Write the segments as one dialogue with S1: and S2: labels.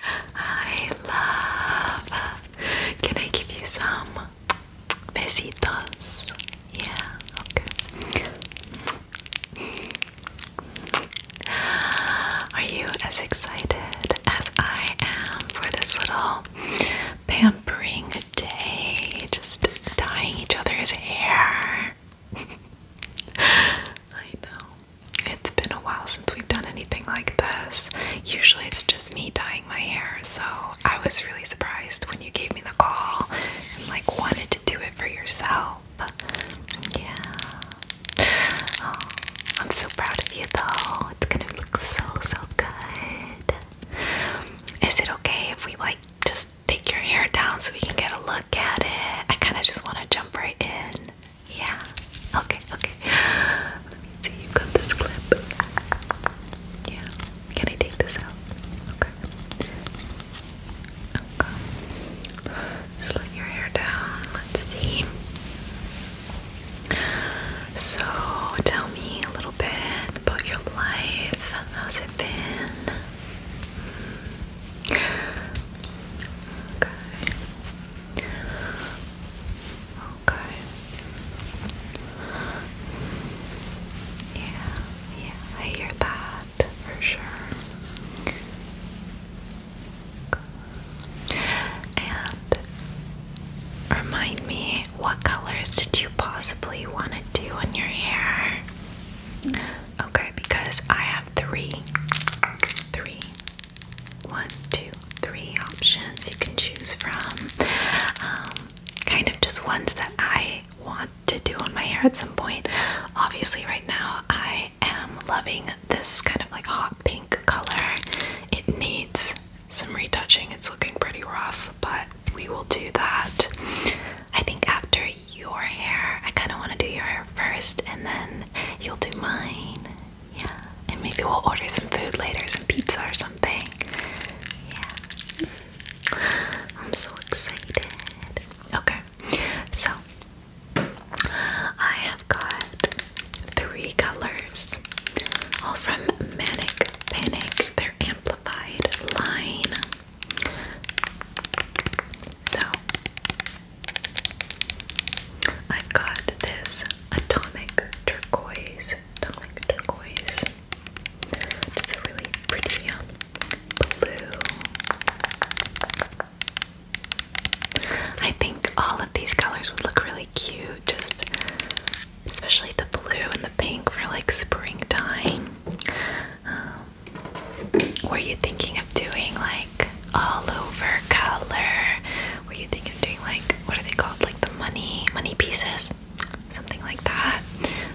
S1: Hi, love. Can I give you some besitos? Yeah, okay. Are you as excited as I am for this little pampering day? Just dyeing each other's hair. I know. It's been a while since we've done anything like this. Usually it's just me dyeing my hair, so I was really surprised when you gave me the call and like wanted to do it for yourself. Yeah. Oh, I'm so proud of you though. It's gonna look so so good. Is it okay if we like just take your hair down so we can get a look at it? I kinda just wanna jump right in. Yeah. Okay, okay. Let me see, you've got this clip. Yeah. Can I take this out? Okay. Okay. Just your hair down. Let's see. So, tell me a little bit about your life. How's it been? Okay. Okay. Yeah, yeah, I hear that for sure. And remind me, what colors did you possibly want to do on your hair? Okay, because I have three. Three one, two, three options you can choose from. Um, kind of just ones that I want to do on my hair at some point. Obviously, right now I am loving this kind of like hot pink color. It needs some retouching, it's looking pretty rough, but we will do that. I think after your hair, I kind of want to do your hair first and then you'll do mine. Yeah, and maybe we'll order some food later, some pizza or something. Yeah. I'm so excited. Okay, so I have got three colors, all from Manic Panic, their amplified line. So i got this atomic turquoise, atomic turquoise. Just really pretty um, blue. I think all of these colors would look really cute, just especially the blue and the pink for like springtime. Um, were you thinking of doing like all over color? Were you thinking of doing like what are they called? Like the money money pieces, something like that,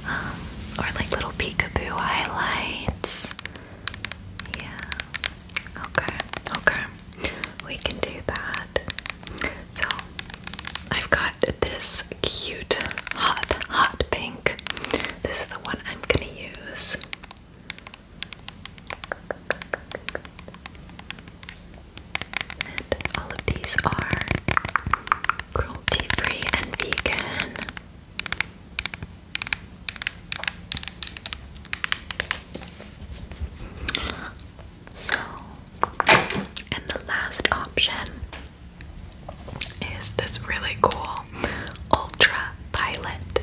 S1: um, or like little peekaboo highlights. Yeah. Okay. Okay. We can do that. So I've got this cute hot hot pink. This is the one I'm gonna use all of these are cruelty free and vegan. So, and the last option is this really cool ultra violet.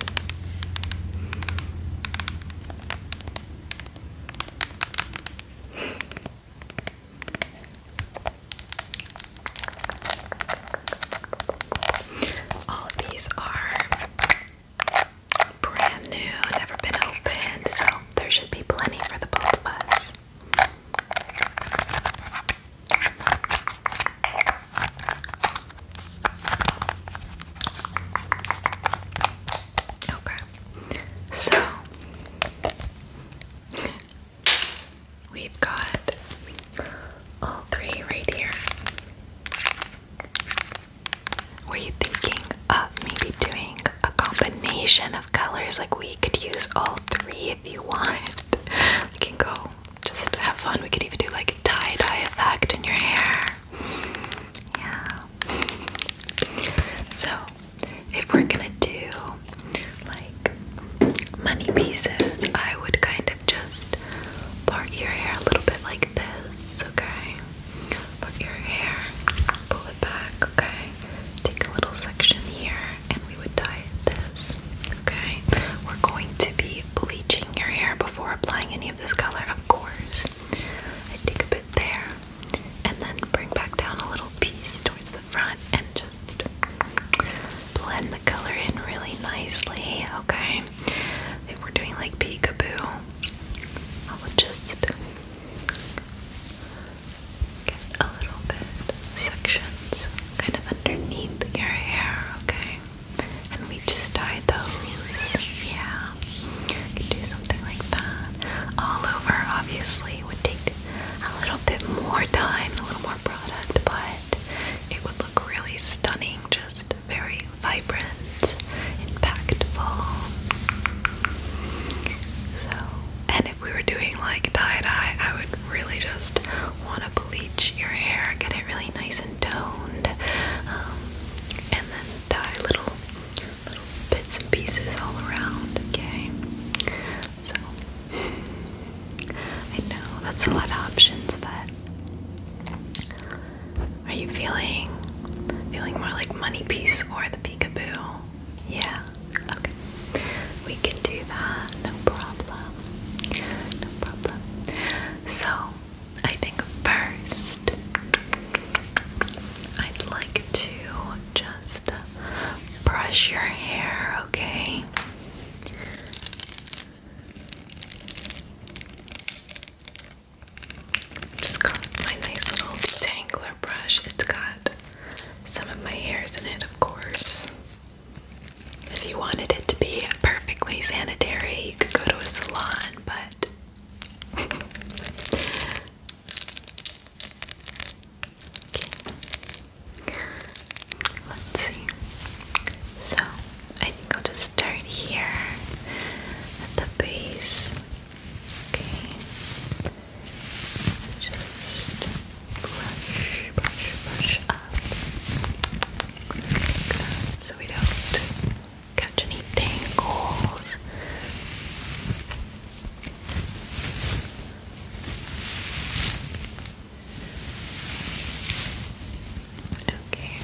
S1: All of these are brand new, never been opened, so there should be plenty for the both of us. Okay, so we've got all three right here. Were you thinking of maybe doing a combination of colors? Like, we could use all three if you want. We can go just have fun. We could even do like a tie dye effect in your hair. Yeah. So, if we're gonna do like money pieces, I would kind of just part your hair a little bit like this, okay? Part your hair, pull it back, okay? Take a little section here, and we would dye this, okay? We're going to be bleaching your hair before applying any of this color, of course. I take a bit there and then bring back down a little piece towards the front and just blend the color in really nicely, okay? If we're doing like peekaboo, I will just get a little bit sections kind of underneath your hair, okay? and we just dye those. Yeah, we could do something like that. All over, obviously, would take a little bit more time, a little more product, but it would look really stunning, just very vibrant, impactful. So, and if we were doing like dye dye, I would really just want to bleach your hair, get it really nice and toned, um, and then tie little little bits and pieces all around, okay? So I know that's a lot of options, but are you feeling feeling more like money piece or the peekaboo? Yeah. Okay. We can do that. No problem. No problem. So I think first I'd like to just brush your hair, okay? Just got my nice little detangler brush. It's got some of my hairs in it, of course. If you wanted it to be perfectly sanitary, you could go to a salon, but Let's see. So I think I'll start here at the base. Okay. Just brush, brush, brush up. So we don't catch any tangles. Okay.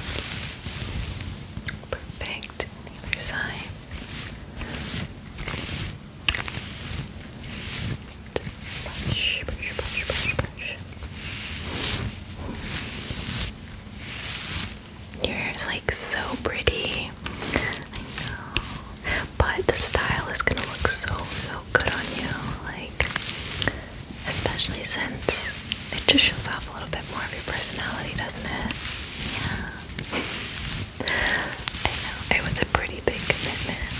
S1: Perfect. other side. brush, brush, brush, brush, brush. Your hair is like so pretty. I know. But the style is gonna look so, so good on you. Like, especially since it just shows off a little bit more of your personality, doesn't it? Yeah. I know. It was a pretty big commitment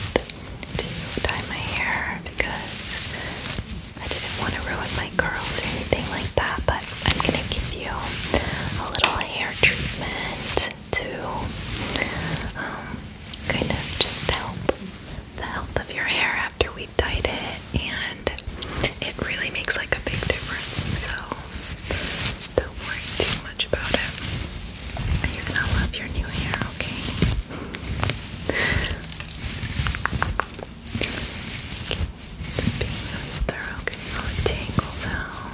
S1: to dye my hair because I didn't want to ruin my curls or anything like that, but I'm gonna give you a little hair treatment to um, kind of just help the health of your hair after we dyed it, and it really makes like a big difference. So don't worry too much about it. You're gonna love your new hair, okay? Just being really thorough, getting tangles out.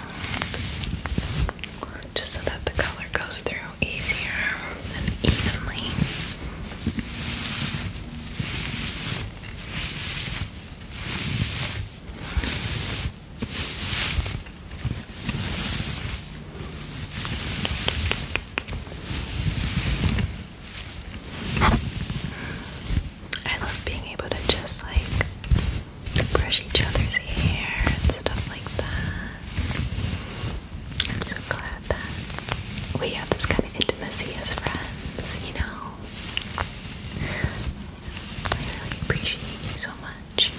S1: Just so that the color goes through easier and evenly. I love being able to just like brush each other's hair and stuff like that. I'm so glad that we have this kind of intimacy as friends, you know. I really appreciate you so much.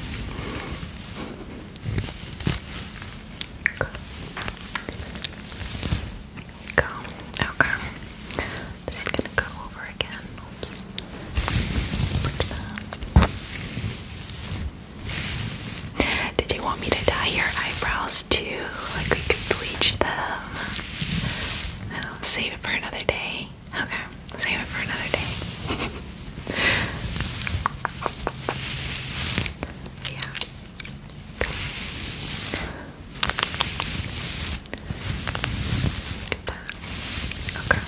S1: Go. Go. Okay. This is gonna go over again. Oops. Look at that. Did you want me to dye your eyebrows too? Like we could bleach them? No, save it for another day. Okay, save it for another day. yeah. Okay. Perfect. Okay.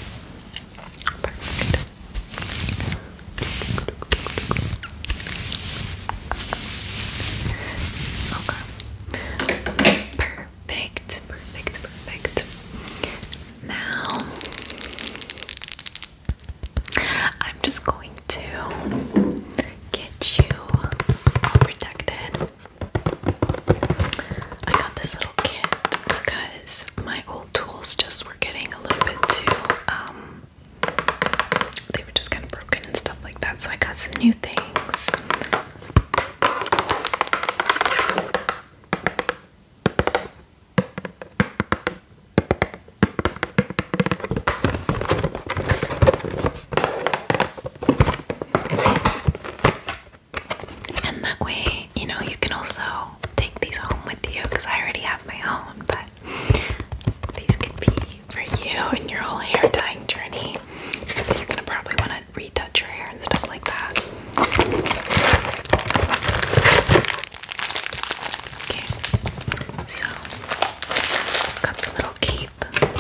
S1: Perfect. Perfect. Perfect. Now I'm just going to get you all protected. I got this little kit because my old tools just were getting a little bit too, um, they were just kind of broken and stuff like that. So I got some new things. And that way, you know, you can also take these home with you because I already have my own, but these could be for you and your whole hair dyeing journey. Because you're gonna probably want to retouch your hair and stuff like that. so I've got the little key keep. Got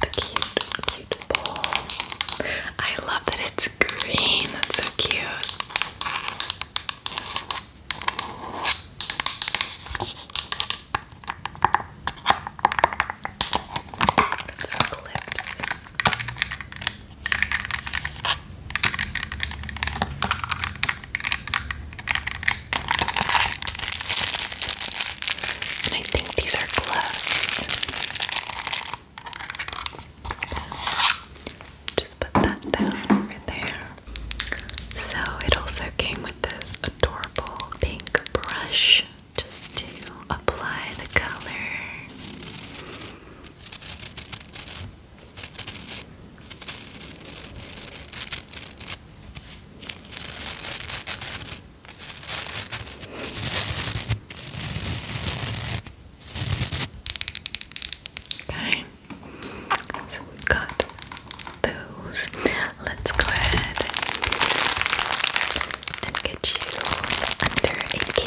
S1: the cute, cute bowl. I love that it's green. That's so cute. Got clips. I think these are gloves. Just put that down over there. So it also came with this adorable pink brush just to apply the color. Okay, so we got those. Let's go ahead and get you under a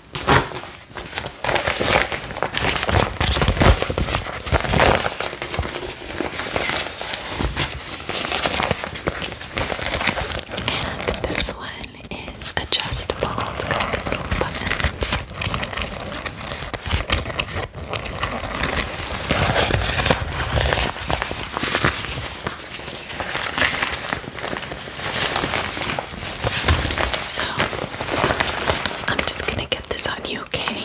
S1: And this one is adjustable. It's got little buttons. So, I'm just gonna get this on you, okay? Okay.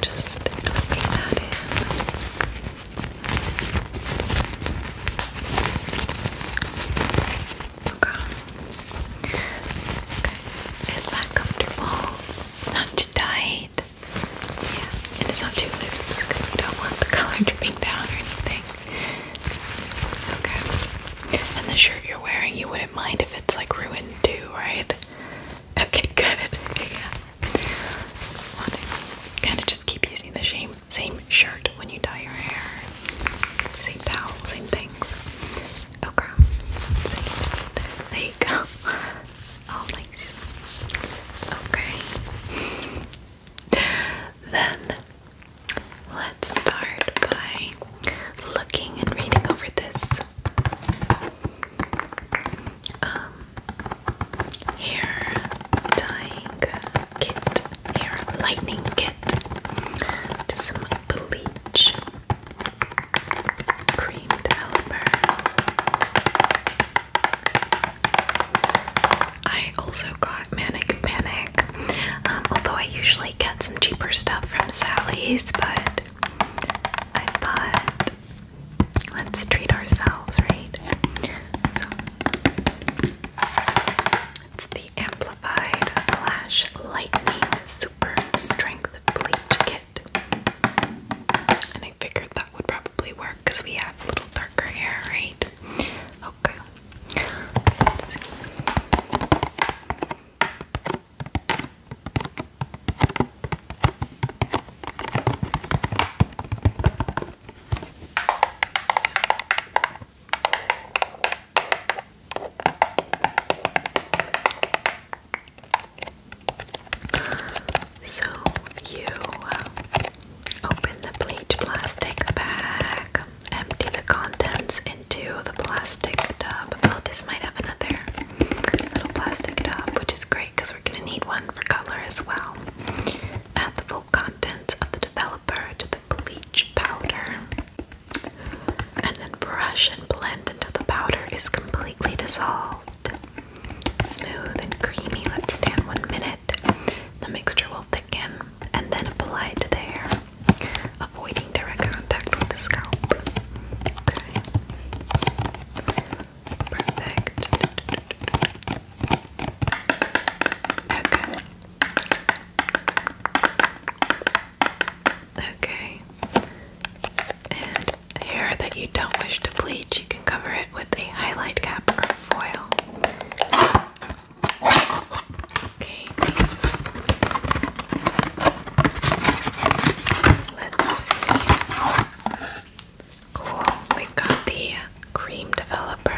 S1: Just copy that in. Okay. Okay. Is that comfortable? It's not too tight. Yeah, and it's not too loose because we don't want the color dripping down or anything. Okay. And the shirt you're wearing, you wouldn't mind if it's like ruined too, right? Okay, good. Yeah. Kind of just keep using the same same shirt when you dye your hair. Same towel, same things. Okay. Oh, there you go. All nice. Okay. Then let's start by looking and reading over this. Um, hair dyeing kit, hair lightening kit, some bleach, cream developer. I also got Manic Panic, um, although I usually get some cheaper stuff from Sally's, but I thought Let's treat ourselves, right? it's the Amplified Lash Lightning Super Strength Bleach Kit. And I figured that would probably work because we have a little darker hair, right? Okay. Let's see. So you uh, open the bleach plastic bag, empty the contents into the plastic tub. Oh, this might have another little plastic tub, which is great because we're gonna need one for color as well. Add the full contents of the developer to the bleach powder. And then brush and blend until the powder is completely dissolved. Smooth and creamy, let stand one minute. The mixture will thicken and then apply to the hair, avoiding direct contact with the scalp. Perfect. Okay. Okay. And hair that you don't wish to bleach, you can cover it with a highlight cap or foil. Okay. Let's see. Cool, we've got the cream developer.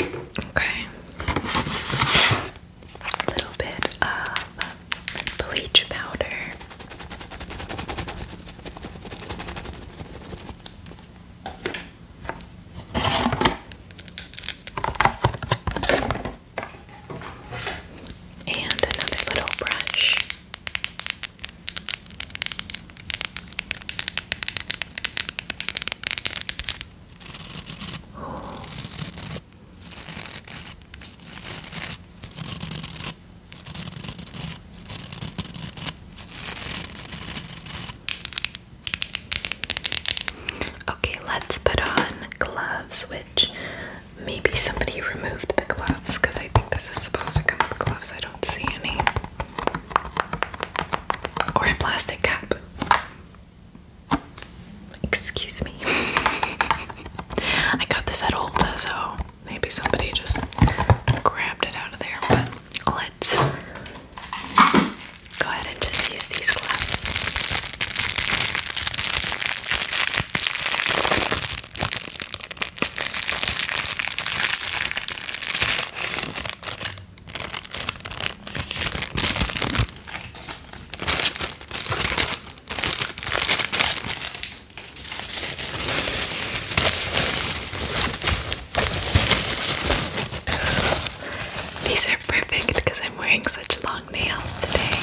S1: Okay. little bit of bleach powder. And another little brush. Okay, let's put on gloves, which maybe somebody removed the gloves because I think this is supposed to come with gloves. I don't see any. Or a plastic cap. Excuse me. I got this at Ulta, so maybe somebody just grabbed it out of there. But let's go ahead and just use these gloves. These are perfect because I'm wearing such long nails today.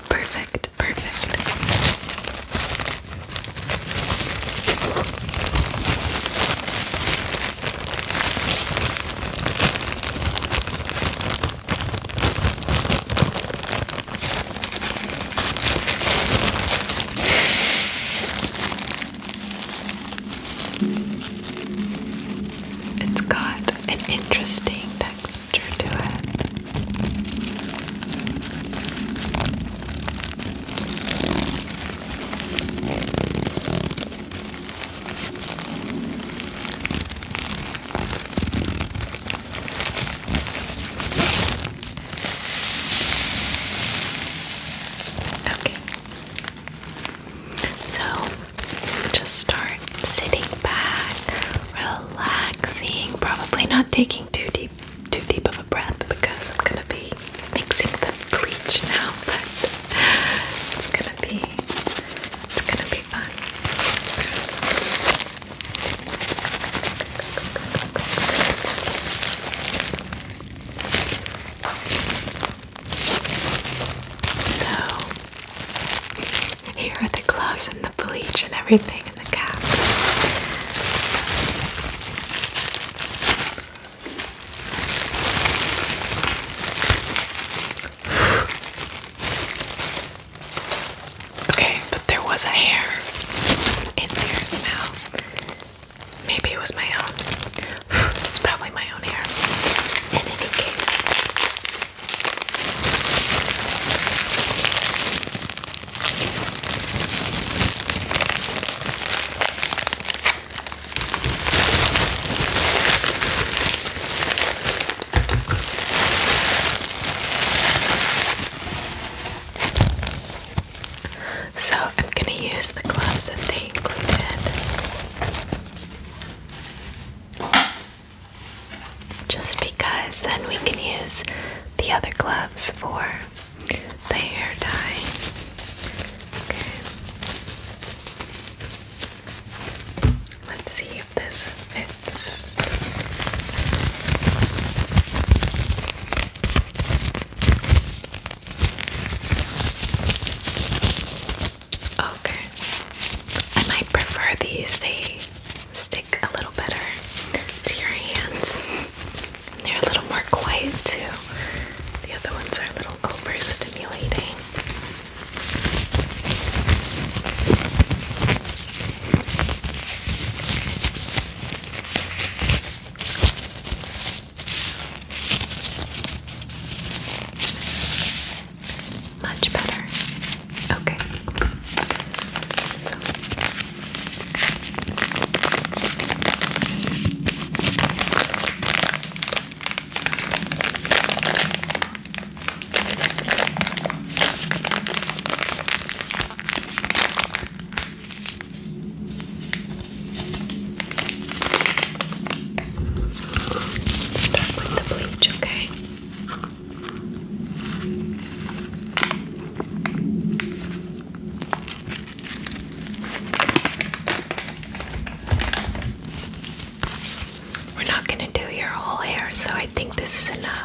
S1: Perfect, perfect. It's got an interesting texture to it. Okay. So just start sitting back, relaxing, probably not taking too deep too deep of a breath because I'm gonna be mixing the bleach now, but it's gonna be it's gonna be fun. So here are the gloves and the bleach and everything and the cap. okay, but there was a hair in there smell. Maybe it was my own. it's probably my own hair. In any case, so I'm going to use the gloves that they included just because then we can use the other gloves for the hair dye. Okay. Let's see if this fits. Okay. I might prefer these. They stick a little better to your hands. And they're a little more quiet too. The other ones are a little overstimulating. Much better. Okay. Start with the bleach, Okay. We're not going to do your whole hair, so I think this is enough.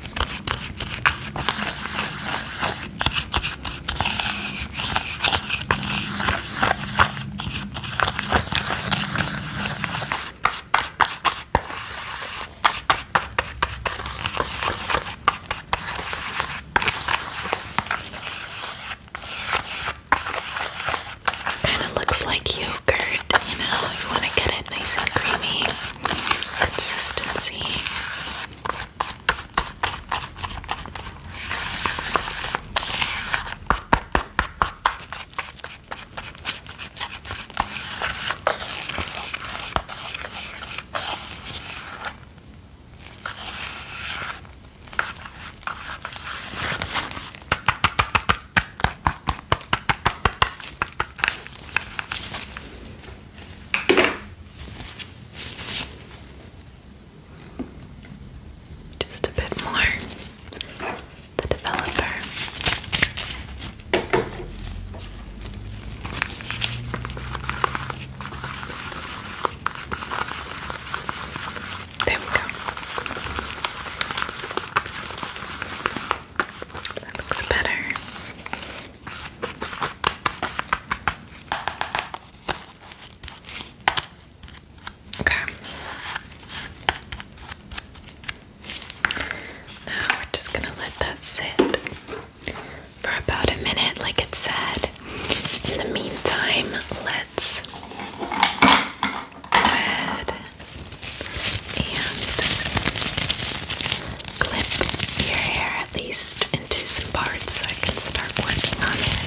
S1: Kind of looks like yogurt, you know, you want to get it nice and creamy consistency. Just a bit more. The developer. There we go. That looks better. Okay. Now we're just gonna let that sit for about a minute, like it said. In the meantime, let's go and clip your hair at least into some parts so I can start working on it.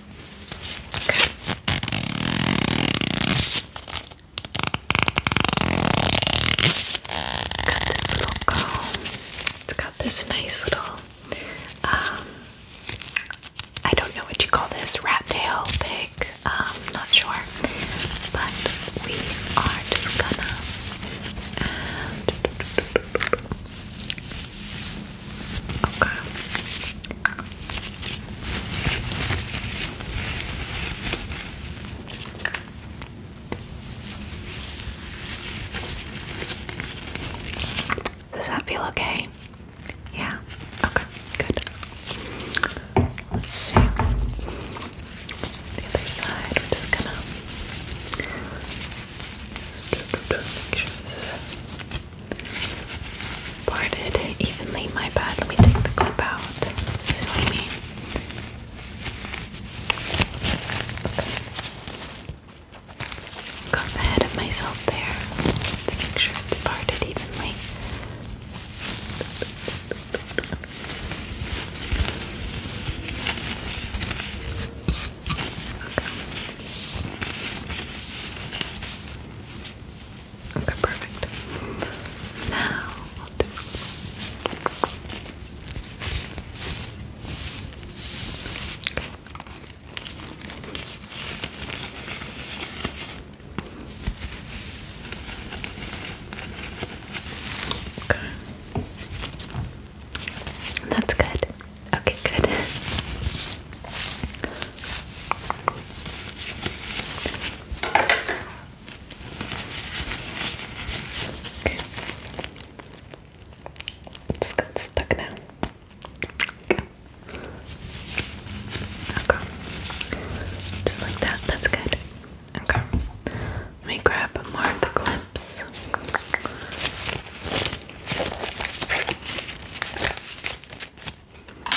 S1: Okay. Got this little comb. It's got this nice little um I don't know what you call this, rat tail pig. Um, not sure. But we are just gonna does that feel okay? Yeah. Okay. Good. Let's see. The other side. We're just gonna make sure this is parted evenly. My bad. Let me take the clip out. See what I mean? Okay. Got ahead of myself there. Let's make sure it's parted evenly. Okay, perfect. Now I'll do Okay. That's good. Okay, good. It's got stuck now. Okay. Just like that, that's good. Okay. Let me grab more of the clips. Okay. I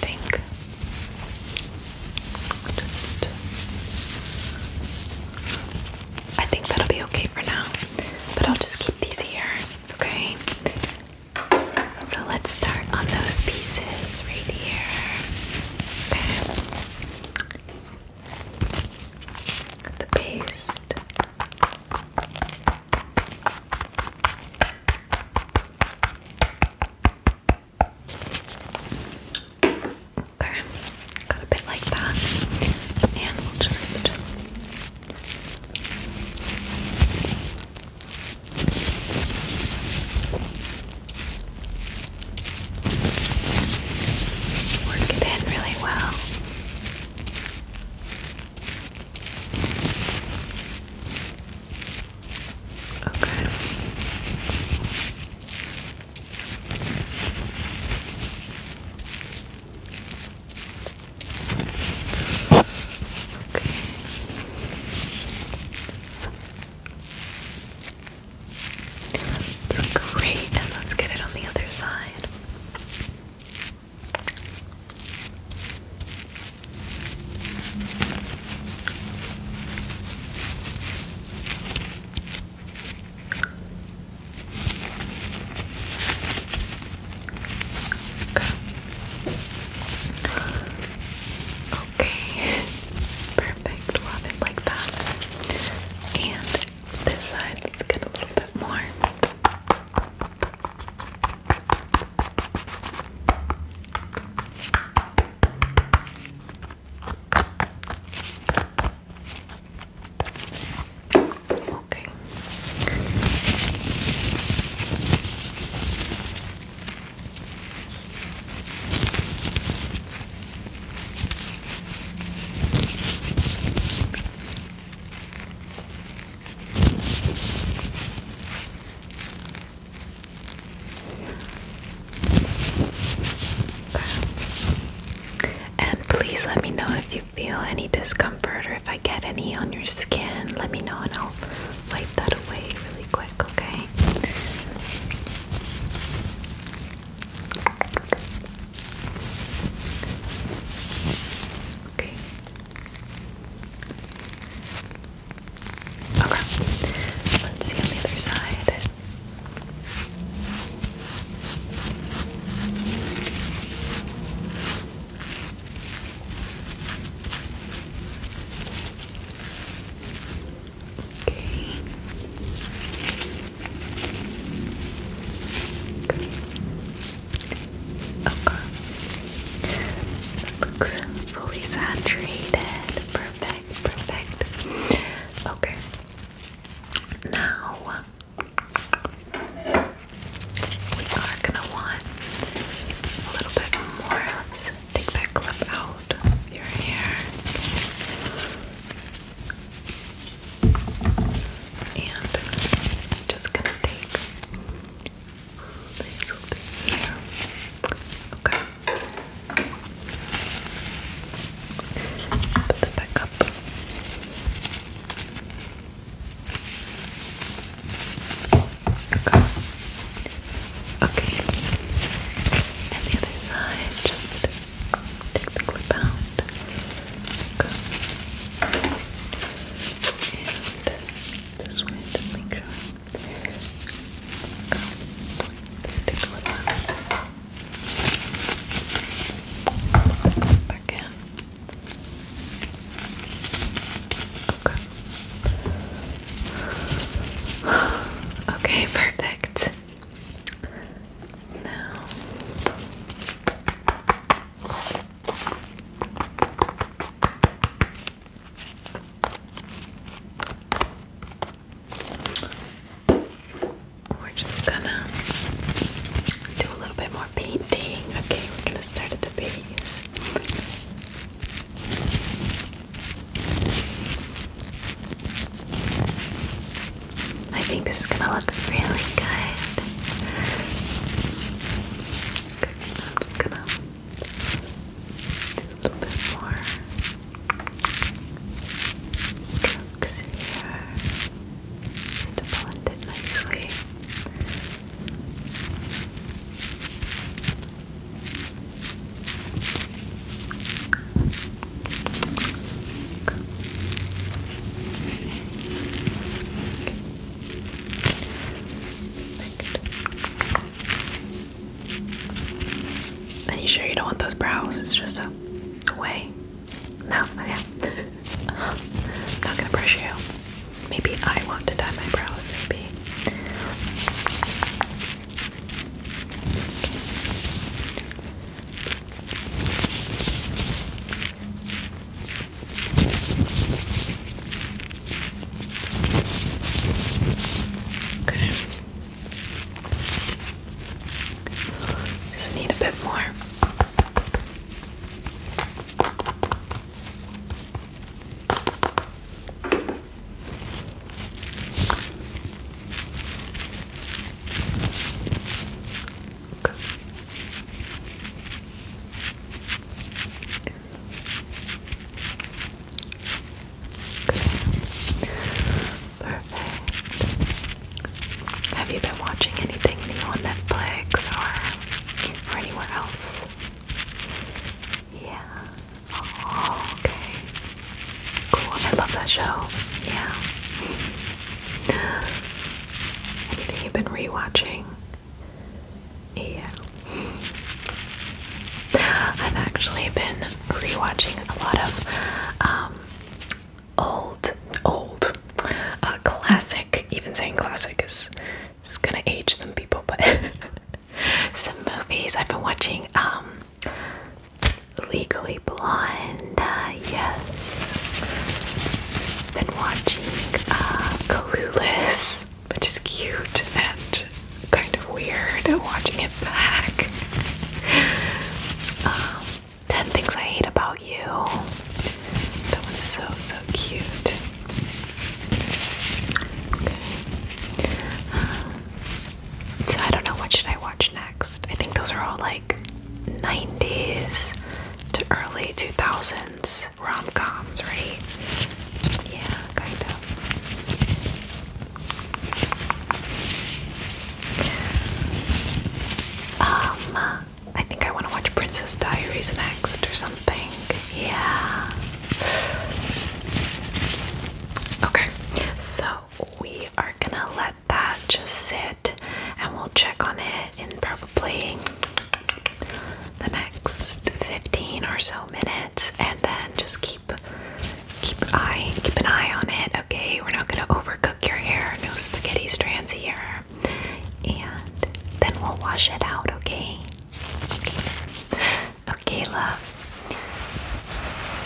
S1: think i think that'll be okay for now. But I'll just keep these here, okay? So let's start on those pieces right here. Okay. the paste. Okay, got a bit like that, and we'll just Work it in really well. Okay. It's great, and let's get it on the other side. Okay. Perfect. we like that. And this side, let's get a little bit more. Okay. And please let me know if you feel any discomfort or if get any on your skin, let me know and I'll wipe that away really quick, okay? Okay. Okay. Let's see on the other side. That looks fully saturated. Perfect, perfect. Okay. Now we are gonna want a little bit more. Let's take that clip out of your hair. And just gonna take a little bit here. Okay. Put that back up. Okay. And the other side, just take the clip out. Go. And this way to make sure. Go. Take the clip out. Back in. Okay. Okay, perfect. Now we're just gonna do a little bit more painting. Okay, we're gonna start at the base. I think this is gonna look really good. I'm just gonna do a little bit more strokes here to blend it nicely. Perfect. Are you sure you don't want those brows? It's just a way. No, okay. I'm not gonna brush you. Maybe I want to dye my brows, maybe. Okay. Just need a bit more. Perfect. Have you been watching anything new on Netflix or or anywhere else? Yeah. Oh, okay. Cool. I love that show. Yeah. Anything you've been rewatching? Yeah. I've actually been rewatching a lot of um, old, old, uh, classic. Even saying classic is it's gonna age some people, but some movies I've been watching. Um, Legally Blonde. Uh, yes, been watching uh, Clueless, which is cute and kind of weird. Watching it back. um, Ten Things I Hate About You. That one's so so cute so I don't know what should I watch next. I think those are all like 90s to early 2000s rom-coms, right? Yeah, kind of. Um, I think I want to watch Princess Diaries next or something. Yeah. Okay, so we are gonna let that just sit and we'll check on it in probably the next 15 or so minutes and then just keep keep eye keep an eye on it okay we're not gonna overcook your hair no spaghetti strands here and then we'll wash it out okay Okay, love.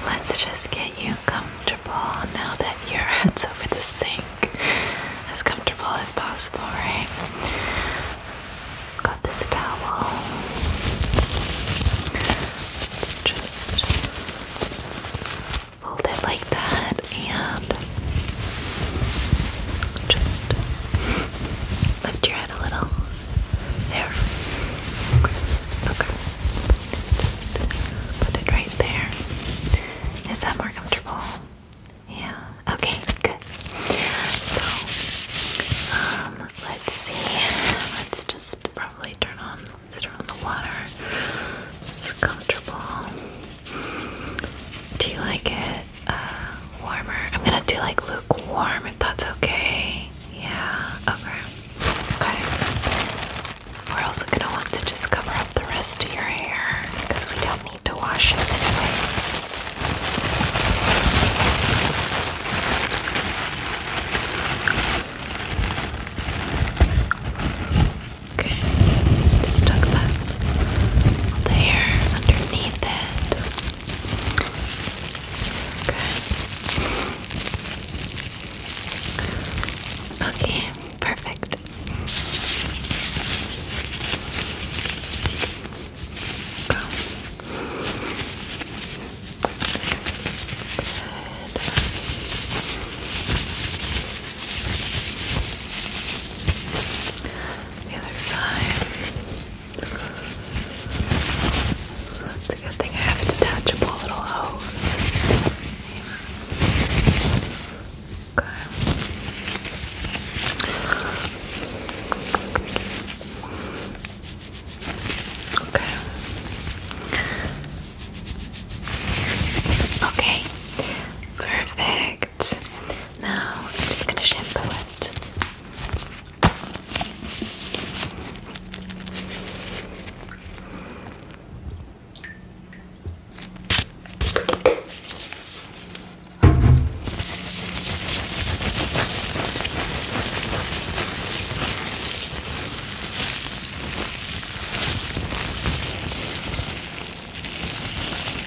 S1: Let's just get you comfortable now that your head's over the sink. As comfortable as possible, right? Got this towel. Let's just fold it like that and just Lift your head a little. There. Okay. put it right there. Is that more comfortable? Yeah. Okay, good. So, um, let's see. Let's just probably turn on turn on the water. It's comfortable. Do you like it? Uh, warmer. I'm gonna do like lukewarm if that's okay. Yeah, okay. Okay. We're also gonna want to just cover up the rest of your hair because we don't need to wash it anyways. Okay, just tuck that the hair underneath it. Okay, perfect. Good. The other side. It's a good thing I have a detachable little hose. Okay. Okay. Okay. Perfect. Now I'm just going to shampoo it.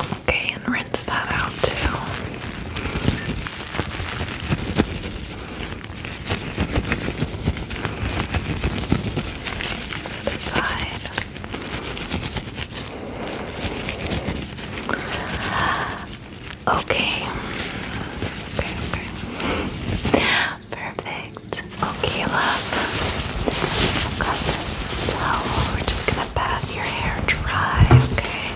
S1: Okay, and rinse that out too. Other side. Okay. Perfect. Okay, love. i got this towel. We're just gonna bath your hair dry, Okay.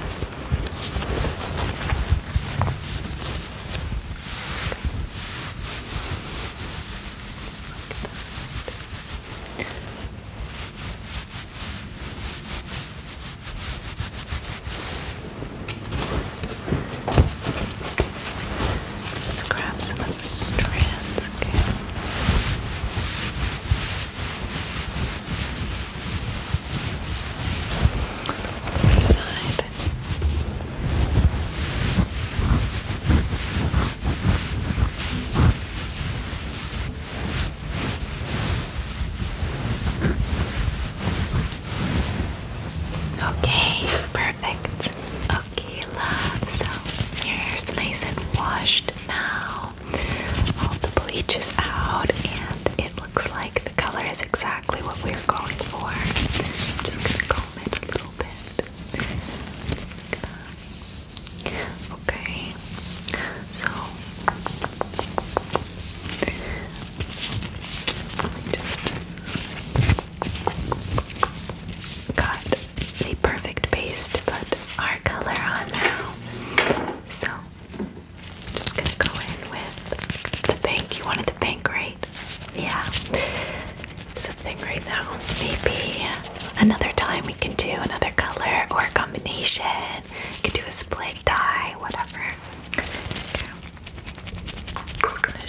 S1: Let's grab some of the strands, okay? Other side. Okay. Okay, perfect. Okay, So your hair's nice and washed now. All the bleach is out, and it looks like the color is exactly what we are going for. just gonna comb it a little bit. Good. Okay, so I me just got the perfect base to put our color on now. So just gonna go in with the pink. You wanted the pink, right? Yeah. It's a thing right now. Maybe another time we can do another color or a combination. We can do a split dye, whatever. Okay.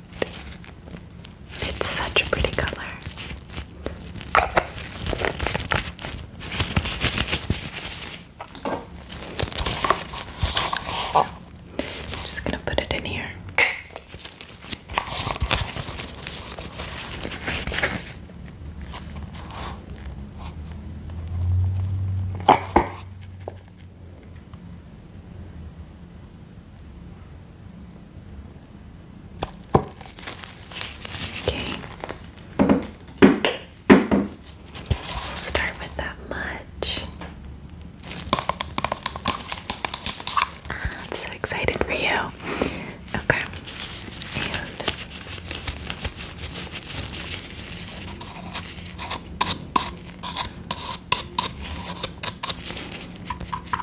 S1: It's such a pretty color. I'm just gonna put it in here. Okay. start with that much. Ah, I'm so excited for you. Okay.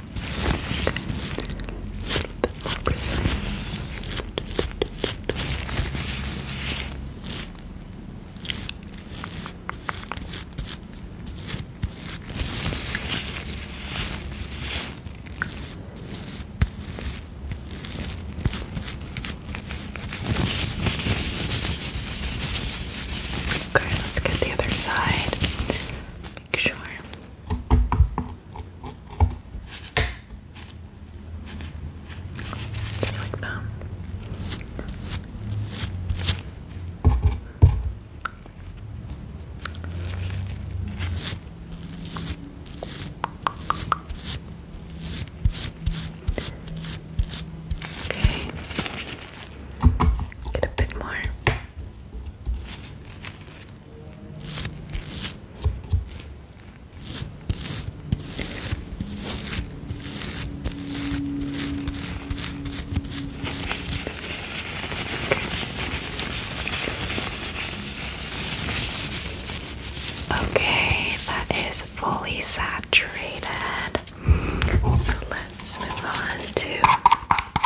S1: A little bit more precise. Okay, let's get the other side. Make sure just like that. Okay. Get a bit more. Okay, that is fully saturated. So let's move on to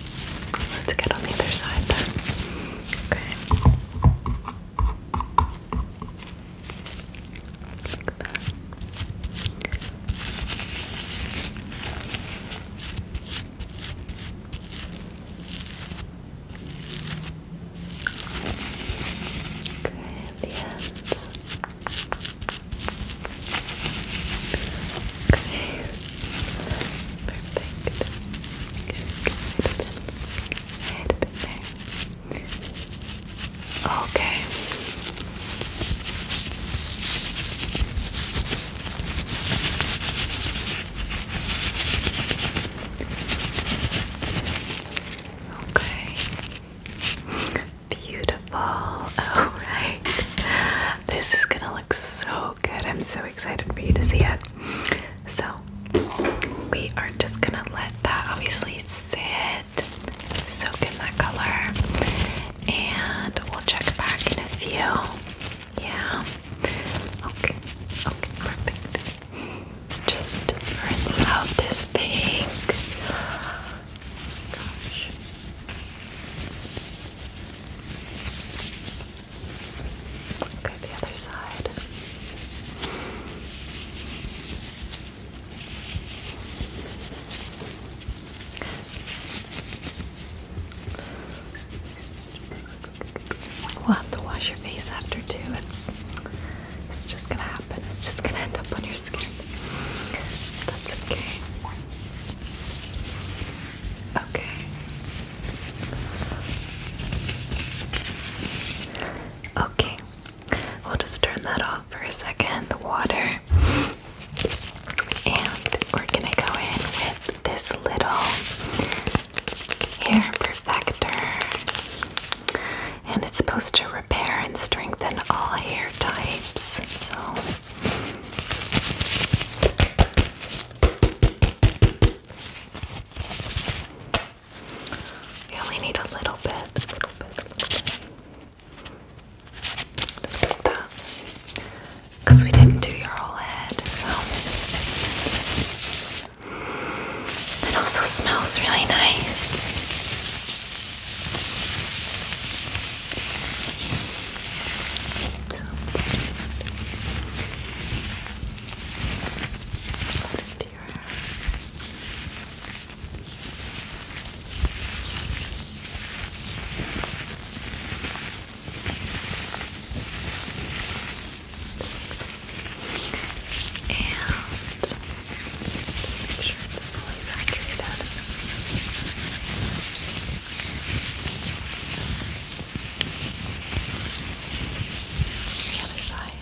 S1: Let's get on the other side then. Okay. Like that. Okay, the ends. Okay. Perfect. Good, good. Right up in. Right up in there. Okay. Okay. Beautiful. All right. This is going to look so good. I'm so excited for you to see it. So, we are just gonna let that obviously sit, soak in that color, and we'll check back in a few. Yeah. Okay. Okay, perfect. let just rinse out this pink. Okay, the other side. We'll have to wash your face after too. It's it's just gonna happen. It's just gonna end up on your skin. That's okay. Okay. Okay, we'll just turn that off for a second, the water. And we're gonna go in with this little hair perfector. And it's supposed to repair and strengthen all hair types. So we only need a little bit, Just like that. Because we didn't do your whole head, so. It also smells really nice. Put it into your hair. And just make sure it's fully hydrated. The other side.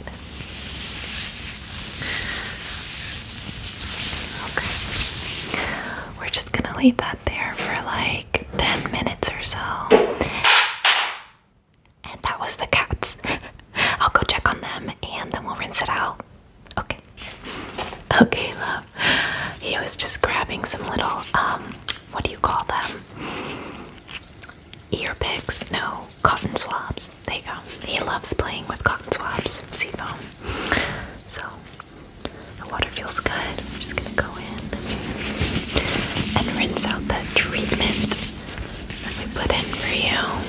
S1: Okay. We're just gonna leave that there for like 10 minutes or so. And that was the cats. I'll go check on them and then we'll rinse it out. Okay. Okay, love. He was just grabbing some little, um, what do you call them? ear picks, no, cotton swabs. There you go. He loves playing with cotton swabs, seafoam. So the water feels good. I'm just gonna go in and rinse out that treatment that we put in for you.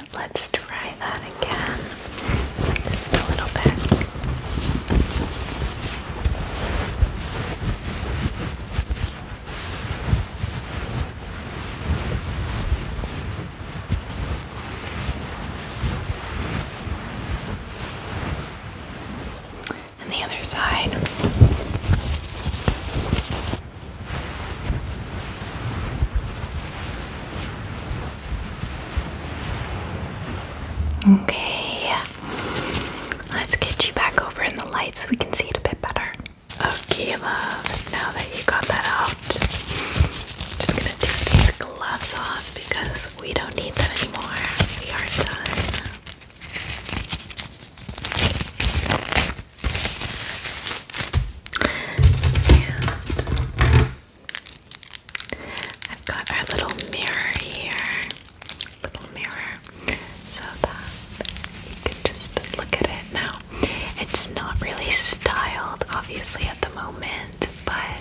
S1: let's try that again. Just a little bit. And the other side. Okay, let's get you back over in the light so we can see it a bit better. Okay, love, now that you got that out, just gonna take these gloves off because we don't need them anymore. We are done. And I've got our little mirror here, little mirror, so that you can just look at it now. It's not really styled, obviously, at the moment, but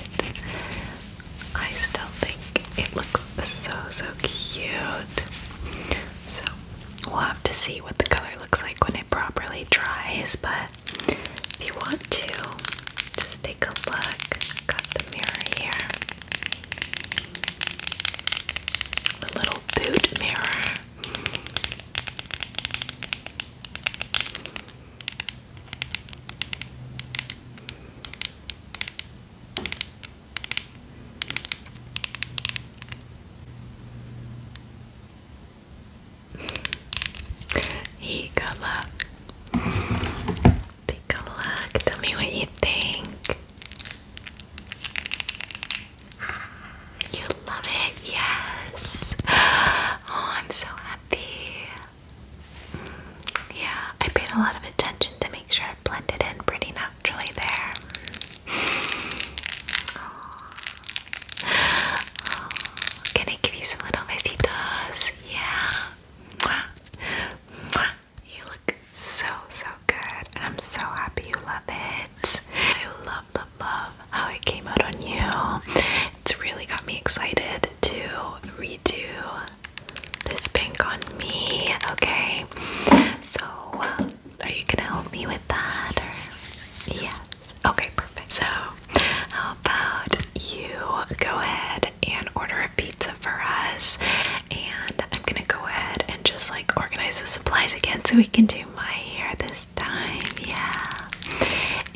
S1: I still think it looks so, so cute. So we'll have to see what the color looks like when it properly dries, but if you want to, just take a look. got the mirror here. The little boot mirror. Hey, good luck. Take a look. Tell me what you think. You love it, yes. Oh, I'm so happy. Yeah, I paid a lot of attention to make sure it blended in pretty naturally there. Can I give you some little besitos? Yeah. Mwah. Mwah. You look so, so good. I'm so happy you love it. I love, love, love how it came out on you. It's really got me excited to redo this pink on me. Okay. So, are you gonna help me with that? Or? Okay, perfect. So, how about you go ahead and order a pizza for us? And I'm gonna go ahead and just like organize the supplies again so we can do my hair this time. Yeah.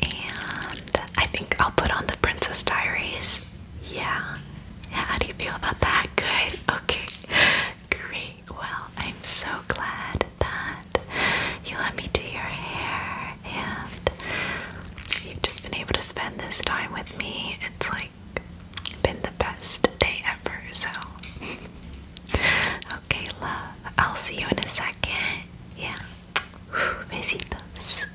S1: And I think I'll put on the Princess Diaries. Yeah. how do you feel about that? Good. Okay. Great. Well, I'm so glad that you let me do your hair and you've just been able to spend this time with me. It's like been the best day ever, so okay, love. I'll see you in a second. Yeah. Besitos.